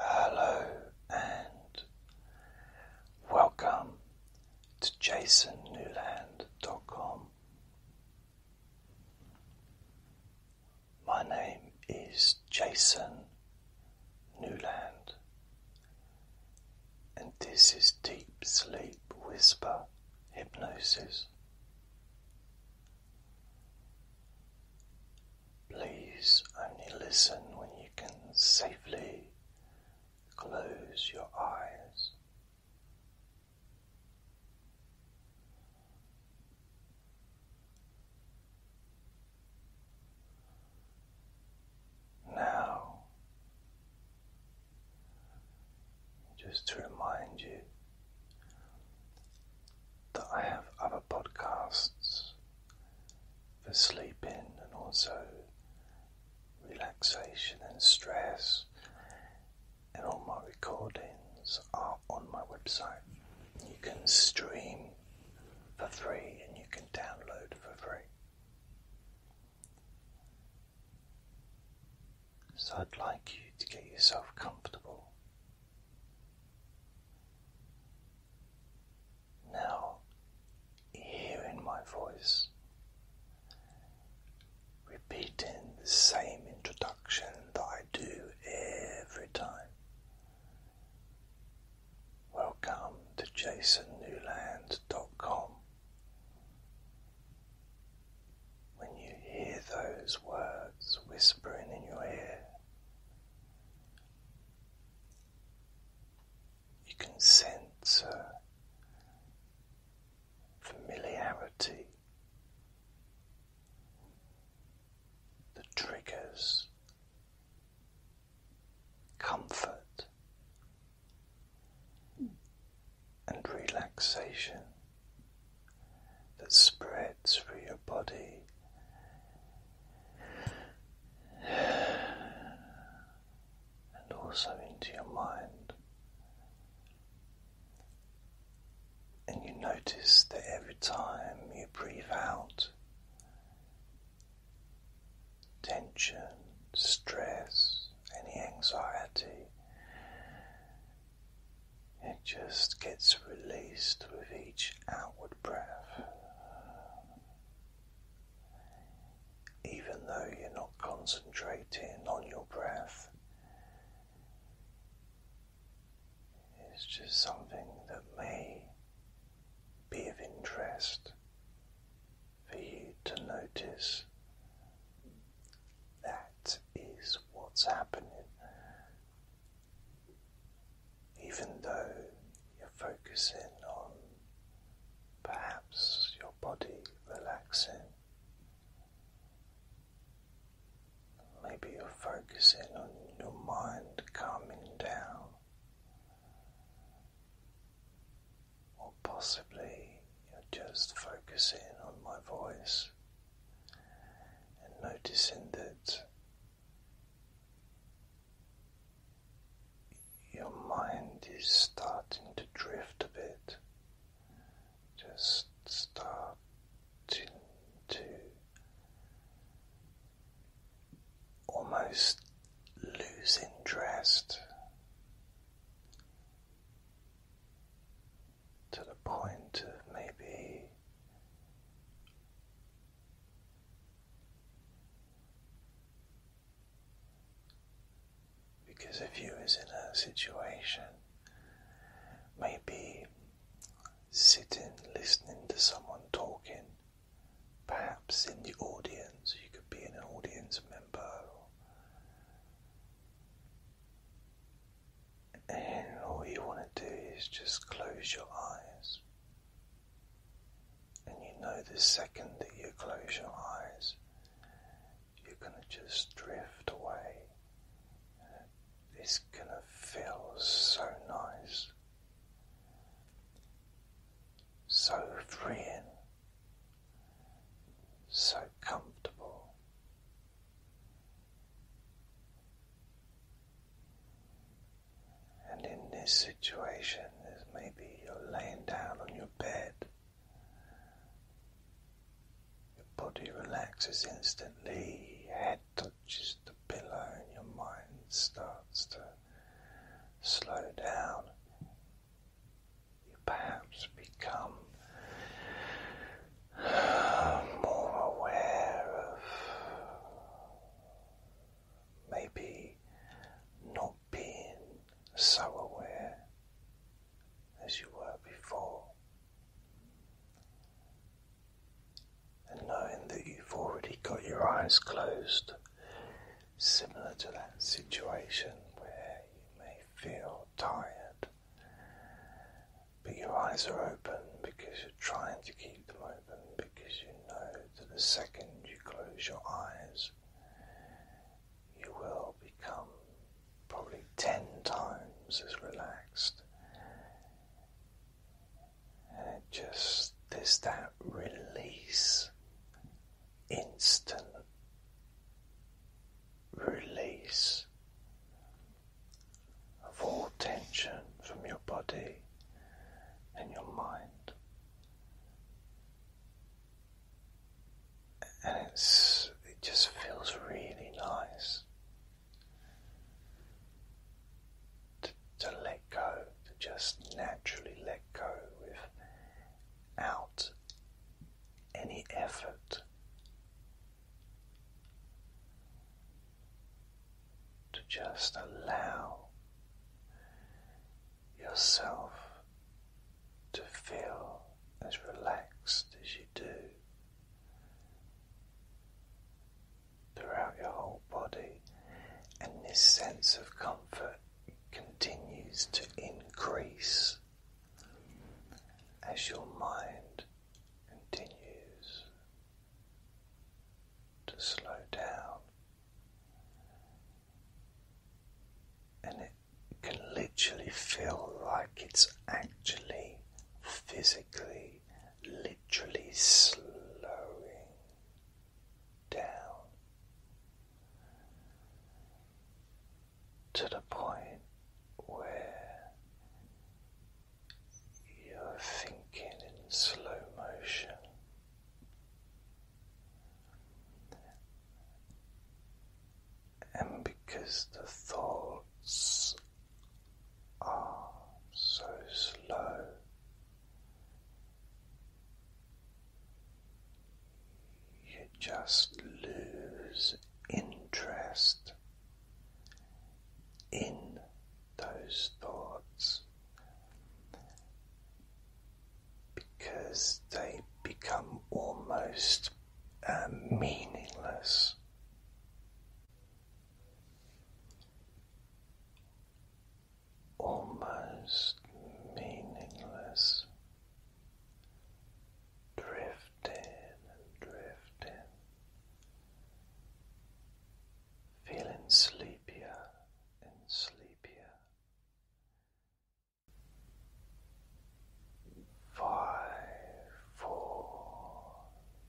Hello and welcome to jasonnewland.com. My name is Jason Newland, and this is Deep Sleep Whisper Hypnosis. Please only listen when you can safely close your eyes. Now, just to remind you, that I have other podcasts for sleeping and also relaxation and stress, and all my recordings are on my website. You can stream for free and you can download for free. So I'd like you to get yourself comfortable. Now, hearing my voice, repeating the same introduction that I do every time. Welcome to jasonnewland.com. When you hear those words whispering in your ear, you can sense familiarity, the triggers, comfort, and relaxation that spreads through your body. And also into your mind, and you notice that every time you breathe out, tension, stress, any anxiety it just gets released with each outward breath. Even though you're not concentrating on your breath, it's just something that may be of interest for you to notice. That is what's happening even though you're focusing on perhaps your body relaxing. Maybe you're focusing on your mind calming down, or possibly you're just focusing on my voice and noticing that your mind is starting to drift a bit, just starting to almost lose interest to the point of maybe because if you was in a situation maybe sitting listening to someone talking perhaps in the audience you could be an audience member and all you want to do is just close your eyes. And you know the second that you close your eyes, you're going to just drift away. It's going to feel so nice, so free, and so comfortable. And in this situation, there's maybe you're laying down on your bed. Your body relaxes instantly, your head touches the pillow, and your mind starts to slow down perhaps become uh, more aware of maybe not being so aware as you were before. And knowing that you've already got your eyes closed, similar to that situation where you may feel tired but your eyes are open because you're trying to keep them open because you know that the second you close your eyes, you will become probably 10 times as relaxed. And it just, there's that release instant release of all tension from your body and your mind. And it's, it just feels really nice to, to let go, to just naturally let go without any effort to just allow yourself to feel as relaxed as you do throughout your whole body, and this sense of comfort continues to increase as your mind continues to slow down, and it can literally feel like it's actually physically, literally slowing down to the point where you're thinking in slow motion. And because the thoughts are so slow, you just lose interest in those thoughts because they become almost uh, meaningless. Almost meaningless drifting and drifting, feeling sleepier and sleepier. Five, four,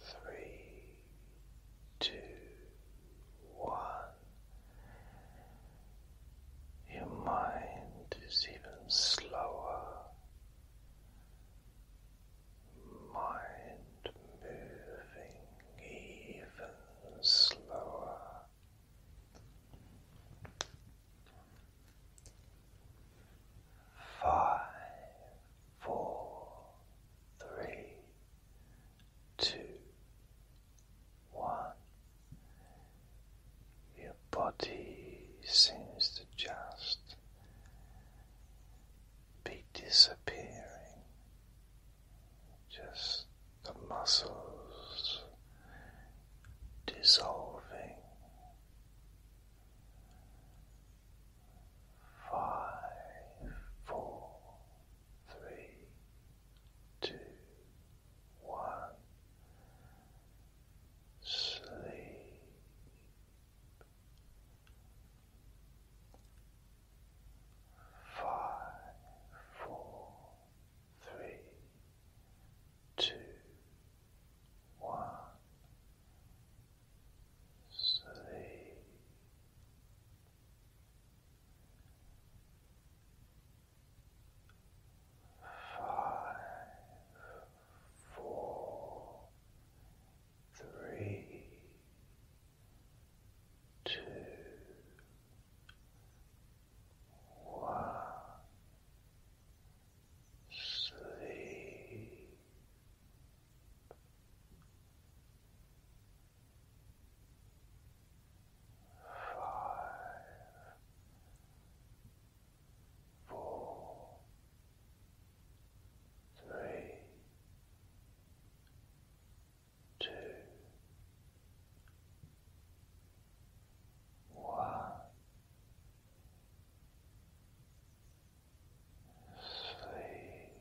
three, two, one. Your mind is even slower. Mind moving even slower. Five, four, three, two, one. Your body seems to just be disappearing, just the muscles dissolving. Five, four, three, two, one. Sleep. Five, four, three, two, one. Sleep five, four, three, two, one. Sleep five, four, three, two, one. Sleep.